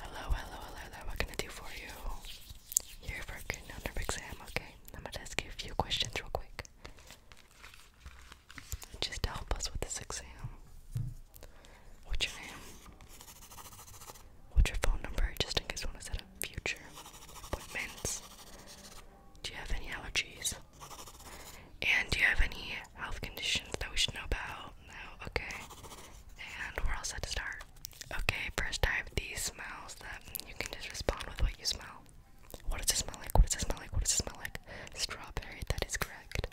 Hello, hello, hello, hello. What can I do for you? You're for a good nerve exam, okay? I'm gonna ask you a few questions real quick. Just to help us with this exam. What's your name? What's your phone number? Just in case we want to set up future appointments. Do you have any allergies? And do you have any health conditions that we should know about? now. Okay, and we're all set to start. Okay, first I have these smells that you can just respond with what you smell. What does it smell like? What does it smell like? What does it smell like? Strawberry, that is correct.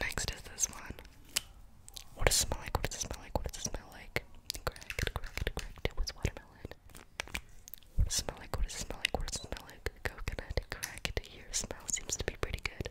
Next is this one. What does it smell like? What does it smell like? What does it smell like? Correct, correct, correct. It was watermelon. What does it smell like? What does it smell like? What does it smell like? Coconut, correct. Your smell seems to be pretty good.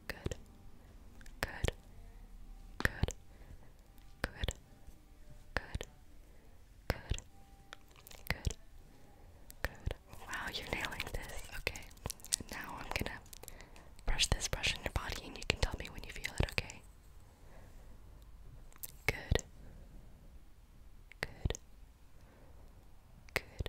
good, good, good, good, good, good, good, good. Wow, you're nailing this. Okay, now I'm gonna brush this brush on your body and you can tell me when you feel it, okay? Good, good, good,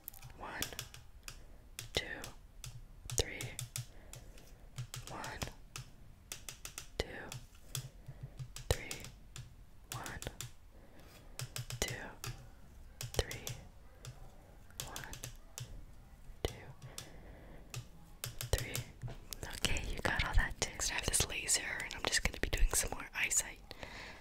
One, two, three. One, two, three. One, two, three. One, two, three. Okay, you got all that text. I have this laser, and I'm just gonna be doing some more eyesight.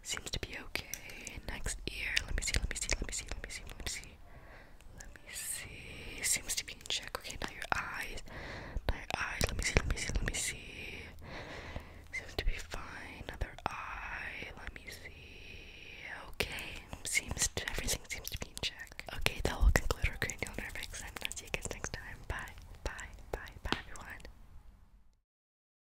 Seems to be okay. Next ear. Let me see. Let me see. Let me see. Let me see. Let me see. Let me see. Seems to be in check. Okay, now your eyes. Now your eyes. Let me see. Let me see. Let me see. Seems to be fine. Another eye. Let me see. Okay. Seems to, everything seems to be in check. Okay, that will conclude our cranial nerve exam. I'll see you guys next time. Bye. Bye. Bye. Bye, everyone.